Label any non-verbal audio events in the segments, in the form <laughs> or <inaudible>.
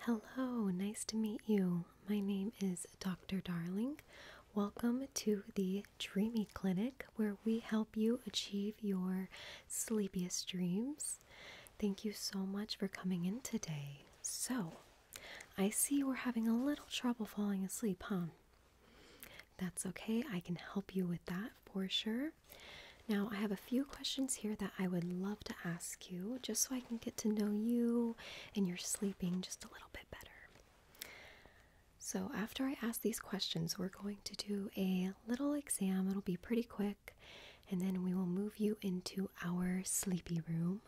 Hello, nice to meet you. My name is Dr. Darling. Welcome to the Dreamy Clinic, where we help you achieve your sleepiest dreams. Thank you so much for coming in today. So, I see we're having a little trouble falling asleep, huh? That's okay, I can help you with that for sure. Now, I have a few questions here that I would love to ask just so I can get to know you and you're sleeping just a little bit better. So, after I ask these questions, we're going to do a little exam. It'll be pretty quick, and then we will move you into our sleepy room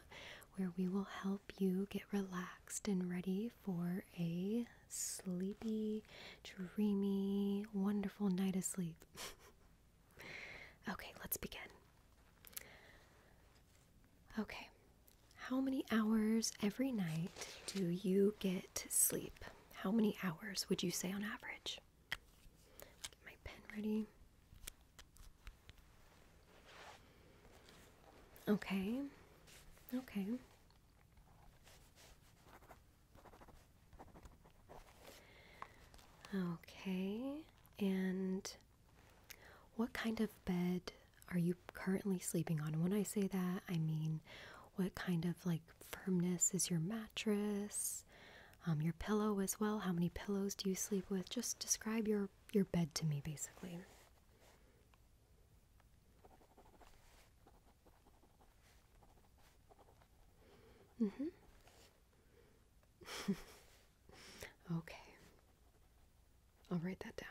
where we will help you get relaxed and ready for a sleepy, dreamy, wonderful night of sleep. <laughs> Okay, let's begin. Okay, how many hours every night do you get to sleep? How many hours would you say on average? Get my pen ready. Okay, okay. Okay and what kind of bed are you currently sleeping on? When I say that, I mean what kind of like firmness is your mattress, um, your pillow as well? How many pillows do you sleep with? Just describe your, your bed to me, basically. Mm-hmm. <laughs> okay. I'll write that down.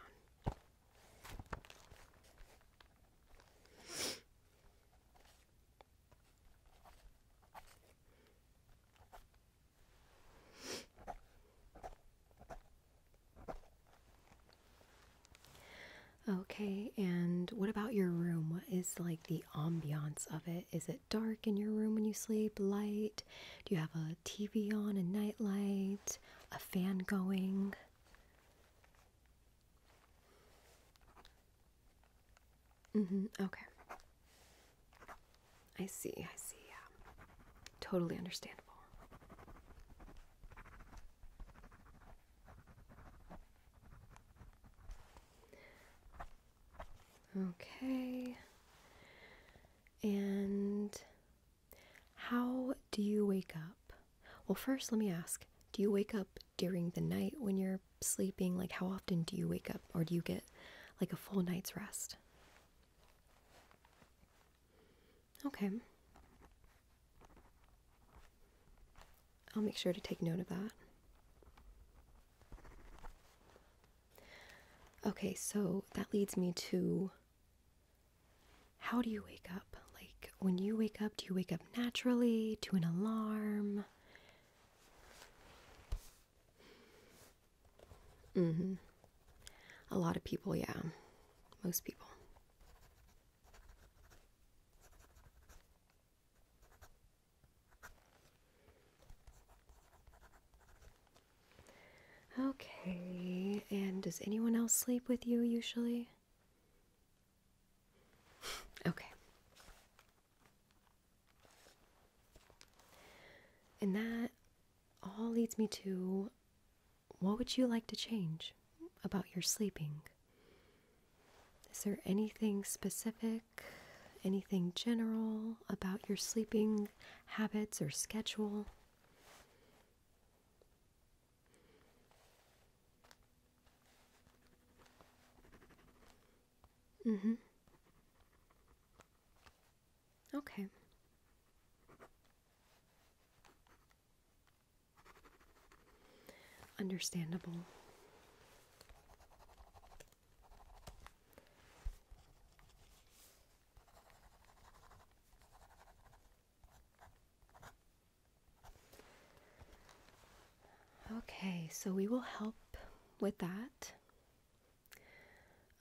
Okay, and what about your room? What is like the ambiance of it. Is it dark in your room when you sleep? Light? Do you have a TV on, a nightlight, a fan going? Mm-hmm. Okay. I see, I see, yeah. Totally understandable. Okay. And how do you wake up? Well, first, let me ask do you wake up during the night when you're sleeping? Like, how often do you wake up, or do you get like a full night's rest? Okay. I'll make sure to take note of that. Okay, so that leads me to how do you wake up? Like, when you wake up, do you wake up naturally to an alarm? hmm A lot of people, yeah. Most people. Okay, and does anyone else sleep with you usually? okay. And that all leads me to what would you like to change about your sleeping? Is there anything specific anything general about your sleeping habits or schedule. Mm hmm. Okay. Understandable. Okay, so we will help with that.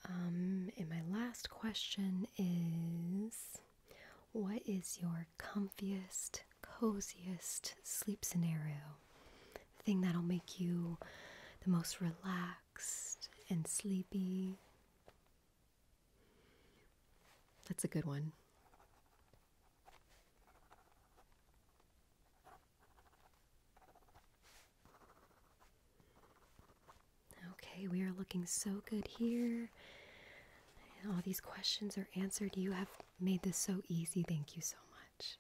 Um, and my last question is What is your comfiest, coziest sleep scenario? thing that'll make you the most relaxed and sleepy. That's a good one. Okay, we are looking so good here. all these questions are answered. You have made this so easy. Thank you so much.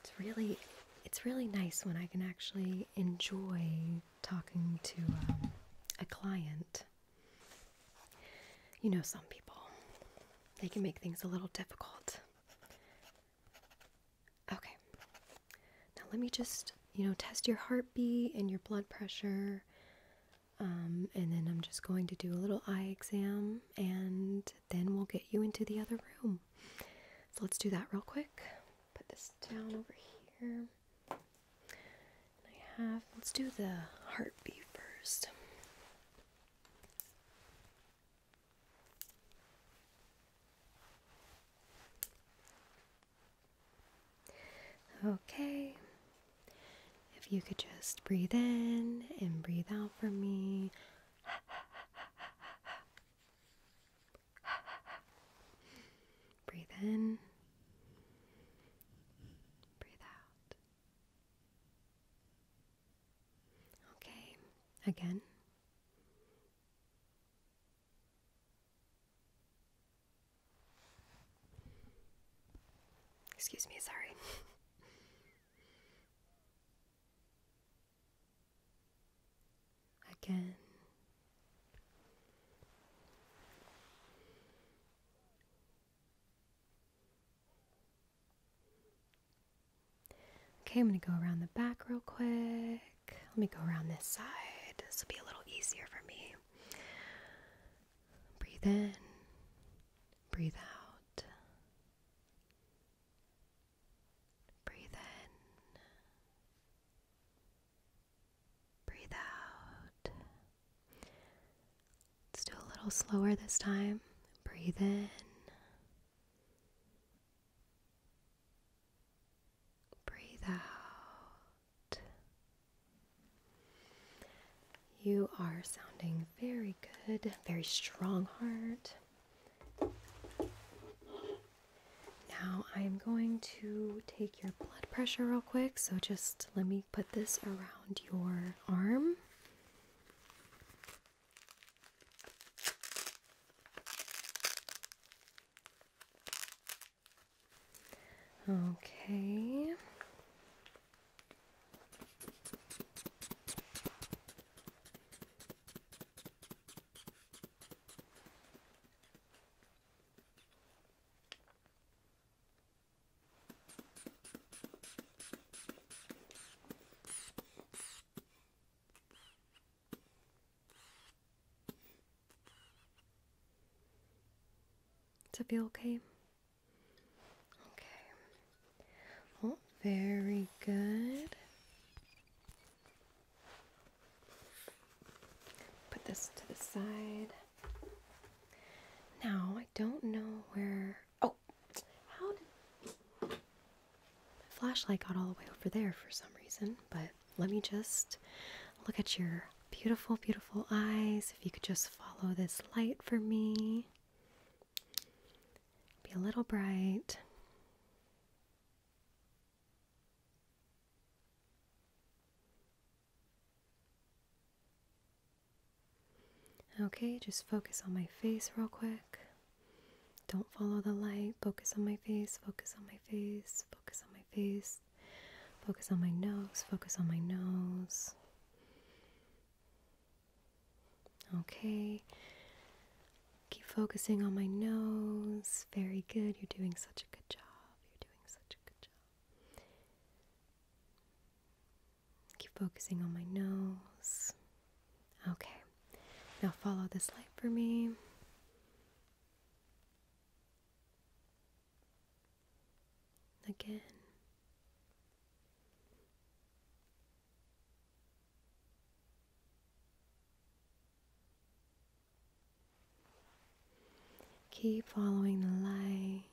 It's really it's really nice when I can actually enjoy talking to um, a client. You know some people they can make things a little difficult. Okay. Now let me just, you know, test your heartbeat and your blood pressure. Um, and then I'm just going to do a little eye exam and then we'll get you into the other room. So let's do that real quick. Put this down over here. let's do the heartbeat first. Okay. If you could just breathe in and breathe out for me breathe in, breathe out. Okay, again. Excuse me, sorry. <laughs> again. Okay, I'm going to go around the back real quick. Let me go around this side. This will be a little easier for me. Breathe in, breathe out. Breathe in. Breathe out. Let's do a little slower this time. Breathe in. Breathe out. You are sounding very good, very strong heart. Now I'm going to take your blood pressure real quick. So just let me put this around your arm. Okay. To be okay. Okay. Well, very good. Put this to the side. Now, I don't know where. Oh, how did. My flashlight got all the way over there for some reason, but let me just look at your beautiful, beautiful eyes. If you could just follow this light for me be a little bright. Okay, just focus on my face real quick. Don't follow the light. Focus on my face, focus on my face, focus on my face, focus on my nose, focus on my nose. Okay. Keep focusing on my nose. Very good. You're doing such a good job. You're doing such a good job. Keep focusing on my nose. Okay. Now follow this light for me. Again. Keep following the light.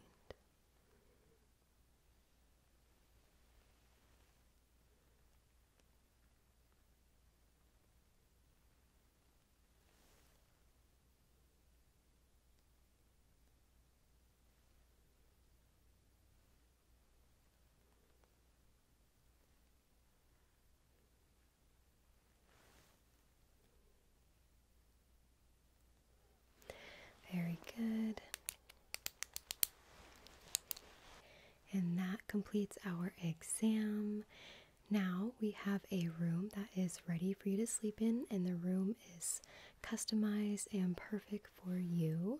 Very good. And that completes our exam. Now we have a room that is ready for you to sleep in, and the room is customized and perfect for you.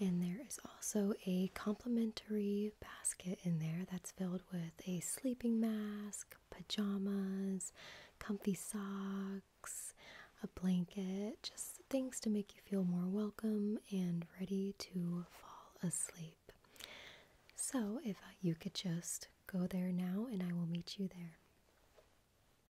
And there is also a complimentary basket in there that's filled with a sleeping mask, pajamas, comfy socks, a blanket, just things to make you feel more welcome and ready to fall asleep. So, if you could just go there now, and I will meet you there.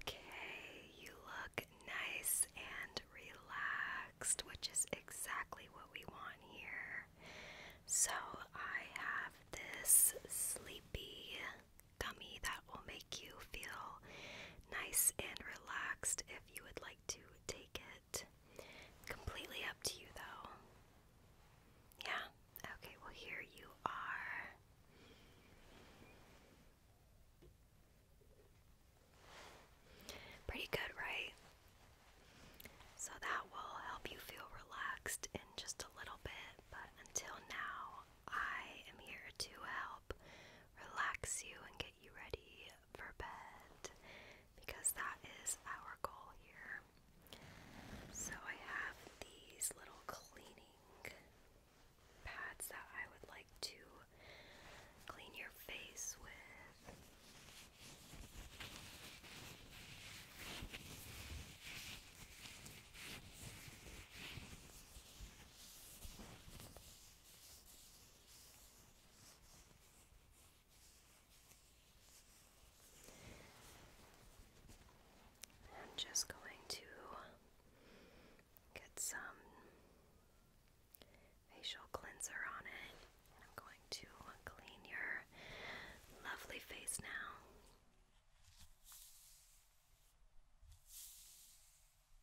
Okay, you look nice and relaxed, which is exactly what we want here. So, I have this sleepy gummy that will make you feel nice and relaxed if you would like to take it. Completely up to you, though. Yeah? Okay, well, here you are. Pretty good, right? So that will help you feel relaxed in just a little bit, but until now, I am here to help relax you and get you ready for bed because that is our goal here. So I have these little cleaning pads that I would like to clean your face with. I'm just going to get some facial cleanser on it. And I'm going to clean your lovely face now.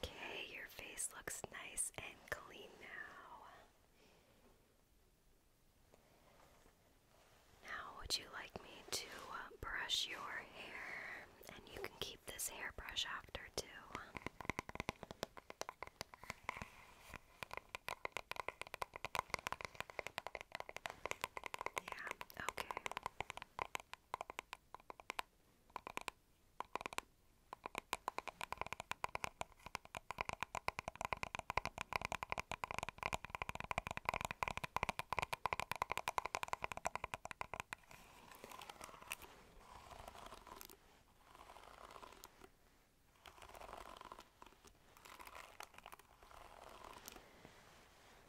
Okay, your face looks nice and clean now. Now, would you like me to uh, brush your hair? And you can keep this hairbrush after, too. Yeah, okay.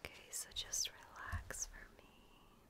Okay, so just relax for me.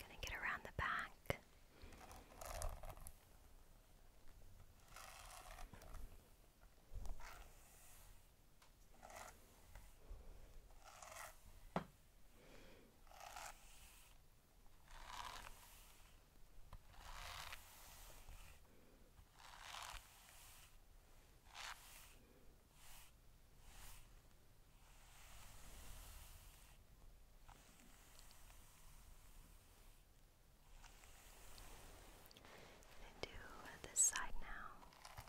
Gonna get around the back. And do this side now. Okay.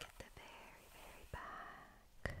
Get the very, very back.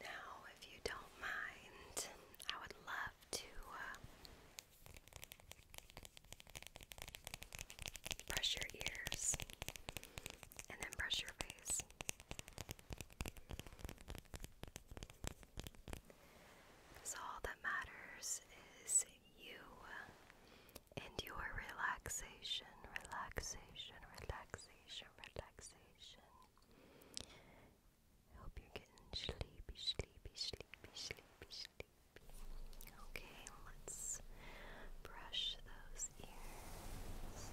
Now, if you don't mind, I would love to uh, brush your ears and then brush your face. Because all that matters is you and your relaxation, relaxation, relaxation, relaxation. I hope you're getting sleepy, sleepy, sleepy, sleepy, sleepy. Okay, let's brush those ears.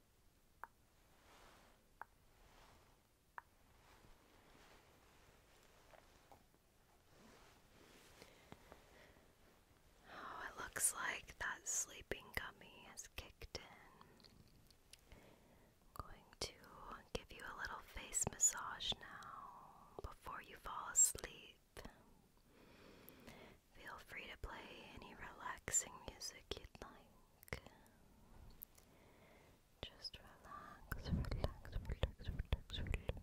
Oh, it looks like that sleeping gummy has kicked in. going to give you a little face massage now before you fall asleep. Feel free to play any relaxing music you'd like. Just relax, relax, relax, relax, relax.